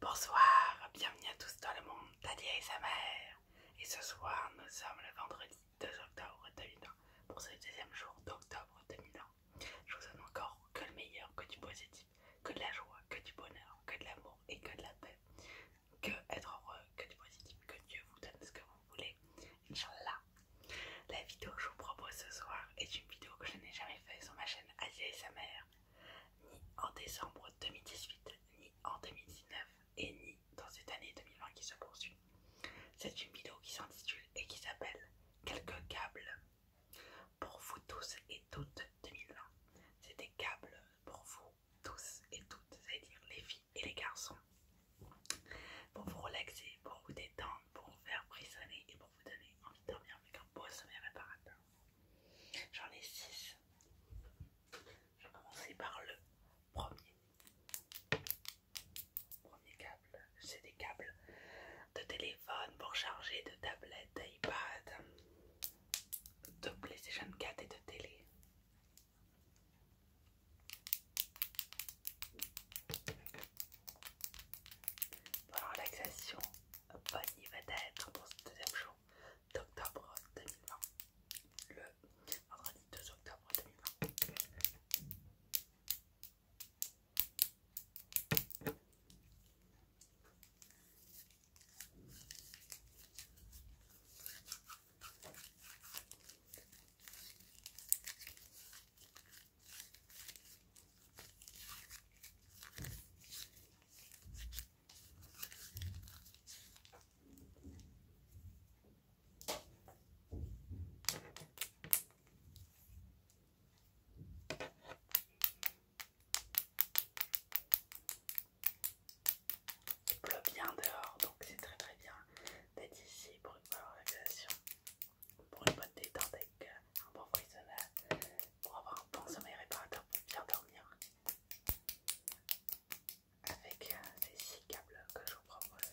Bonsoir, bienvenue à tous dans le monde d'Adia et sa mère. Et ce soir, nous sommes le vendredi 2 octobre 2001 pour ce deuxième jour d'octobre 2001. Je vous donne encore que le meilleur, que du positif, que de la joie, que du bonheur, que de l'amour et que de la paix. Que être heureux, que du positif, que Dieu vous donne ce que vous voulez. Inch'Allah. La vidéo que je vous propose ce soir est une vidéo que je n'ai jamais faite sur ma chaîne Adia et sa mère ni en décembre 2018, ni en 2019, et ni dans cette année 2020 qui se poursuit. C'est une vidéo qui s'intitule et qui s'appelle Quelques câbles pour vous tous et toutes 2020. C'est des câbles pour vous tous et toutes, c'est-à-dire les filles et les garçons, pour vous relaxer, pour vous détendre, pour vous faire frissonner et pour vous donner envie de dormir avec un beau sommeil réparateur. J'en ai 6 Je vais commencer par le premier. Premier câble, c'est des câbles de téléphone pour charger, de tablette, d'iPad, de PlayStation 4 et de télé. Pour la relaxation, Bonnie va naître dans ce deuxième jour d'octobre 2020, le 2 octobre 2020. Il pleut bien dehors, donc c'est très très bien d'être ici pour une bonne relaxation, pour une bonne détente un bon prisonnier pour avoir un bon sommeil réparateur pour bien dormir. Avec ces six câbles que je vous propose,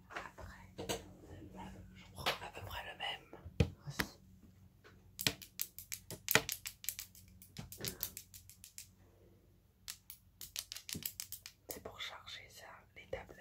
Après, je prends à peu près le même C'est pour charger ça, les tablettes.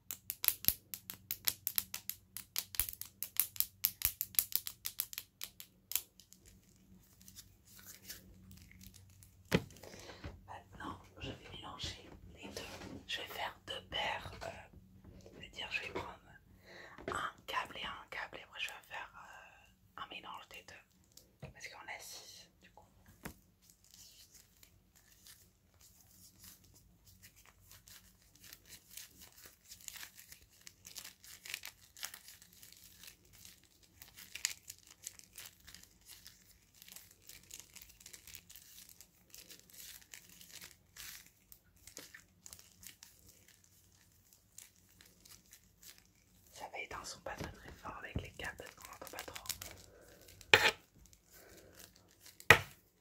Maintenant, je vais mélanger les deux. Je vais faire deux paires. C'est-à-dire, euh, je vais prendre un câble et un câble, et moi je vais faire euh, un mélange des deux. Parce qu'on a six, du coup. Ça va être son pas très fort avec les câbles on entend n'entend pas trop.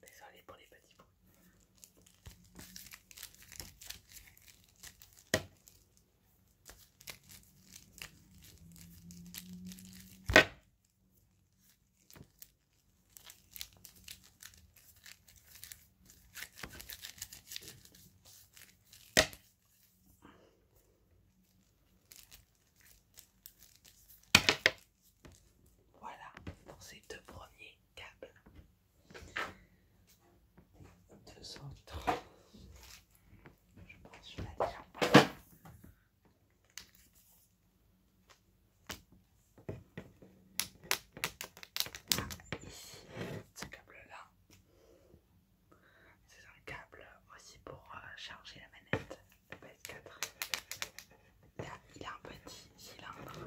Désolé pour les petits bruits. Voilà pour ces deux premiers câbles. autres, Je pense que je l'ai déjà ah, ici, ce câble-là, c'est un câble aussi pour euh, charger la manette il a un petit cylindre.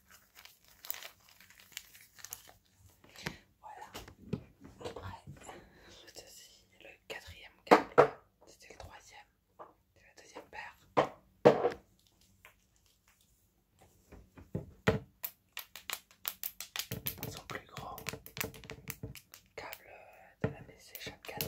Voilà. Après, ceci est le quatrième câble. C'était le troisième. C'est la deuxième paire. Son plus grand câble de la BC chaque 4.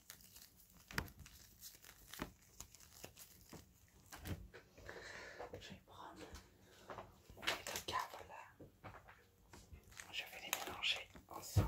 Je vais prendre les deux cartes là. Je vais les mélanger ensemble.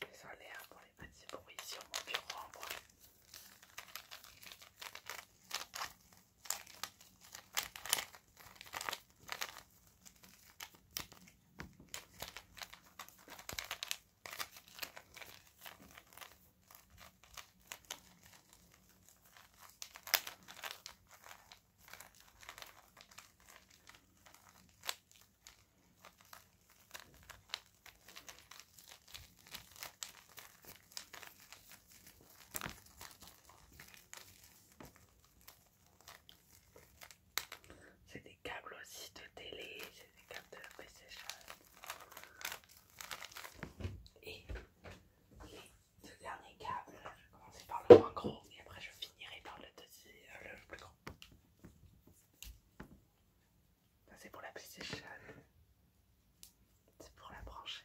Désolée pour les petits bruits sur mon bureau c'est des câbles aussi de télé, c'est des câbles de PlayStation. Et les deux derniers câbles, je vais commencer par le moins gros et après je finirai par le deuxième, euh, le plus gros. Ça c'est pour la PlayStation. C'est pour la brancher.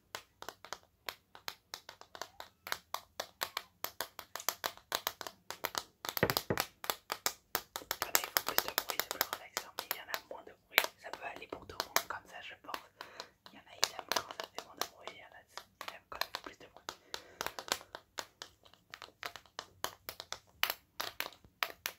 Regardez, il faut plus de bruit, c'est plus relaxant, mais il y en a moins de bruit. Ça peut aller pour tout le monde comme ça, je pense. Il y en a, qui aiment quand ça fait moins de bruit, il y en a, qui aiment quand ça plus de bruit.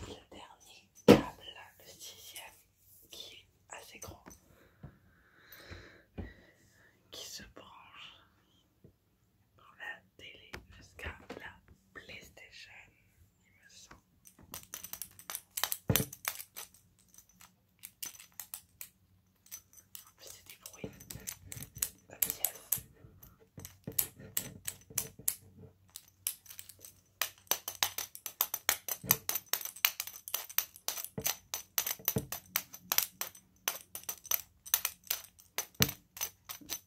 Le dernier câble, le sixième, qui est assez grand, qui se branche de la télé jusqu'à la PlayStation, il me semble. En plus, c'est des bruits de pièces.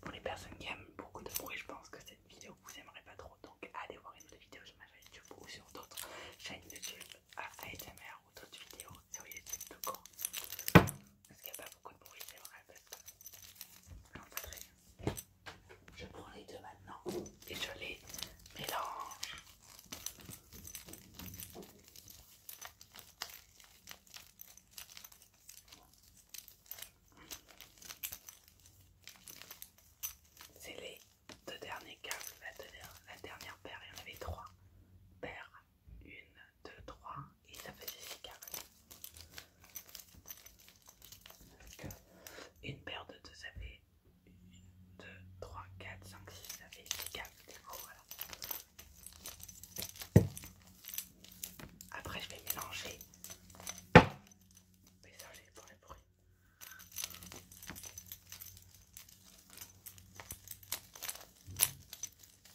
Pour les personnes qui aiment beaucoup de bruit, je pense que cette vidéo vous aimerait pas trop, donc allez voir une autre vidéo sur ma chaîne YouTube ou sur d'autres chaînes YouTube à ASMR ou d'autres vidéos sur YouTube de camp. Parce qu'il n'y a pas beaucoup de bruit, c'est vrai, parce que non, Je prends les deux maintenant et je les mélange. C'est les deux derniers câbles, la, la dernière paire, il y en avait trois paires 1, 2, 3, et ça faisait 6 câbles. Une paire de 2 ça fait 1, 2, 3, 4, 5, 6 ça fait 6 câbles. Après je vais mélanger. Mélanger pour le bruit.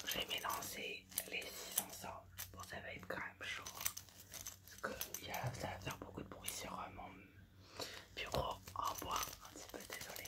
J'ai vais mélanger les 6 ensemble. Bon, ça va être quand même chaud. Hein. Parce que ça va faire beaucoup de bruit sur euh, mon bureau en bois. Un petit peu désolé.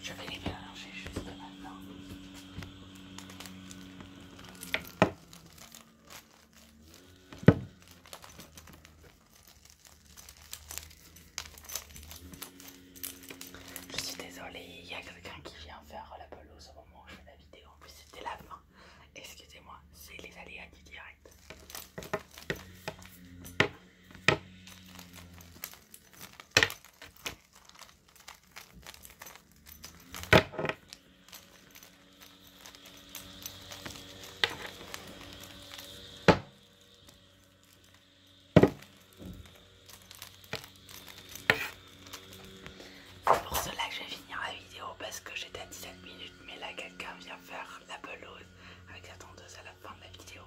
Je vais les mélanger juste maintenant. Je suis désolée, il y a quelqu'un qui vient faire la pelouse au moment où je fais la vidéo. En plus, c'était la fin. Excusez-moi, c'est les aléas du direct. C'est pour cela que je vais finir la vidéo parce que j'étais à 17 minutes mais là quelqu'un vient faire la pelouse avec la tenteuse à la fin de la vidéo.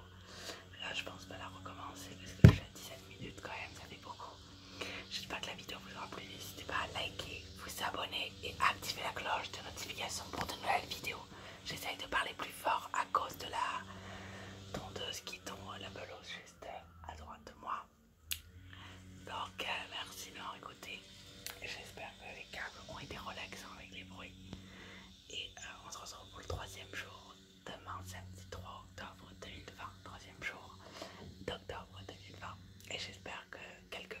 Là je pense pas la recommencer parce que j'ai à 17 minutes quand même, ça fait beaucoup. J'espère que la vidéo vous aura plu, n'hésitez pas à liker, vous abonner et activer la cloche de notification pour de nouvelles vidéos. J'essaye de parler plus fort à cause de la tondeuse qui tombe la pelouse juste à droite de moi. Donc euh, merci de m'avoir écouté. J'espère que les câbles ont été relaxants avec les bruits. Et euh, on se retrouve pour le troisième jour. Demain samedi 3 octobre 2020. Troisième jour d'octobre 2020. Et j'espère que quelques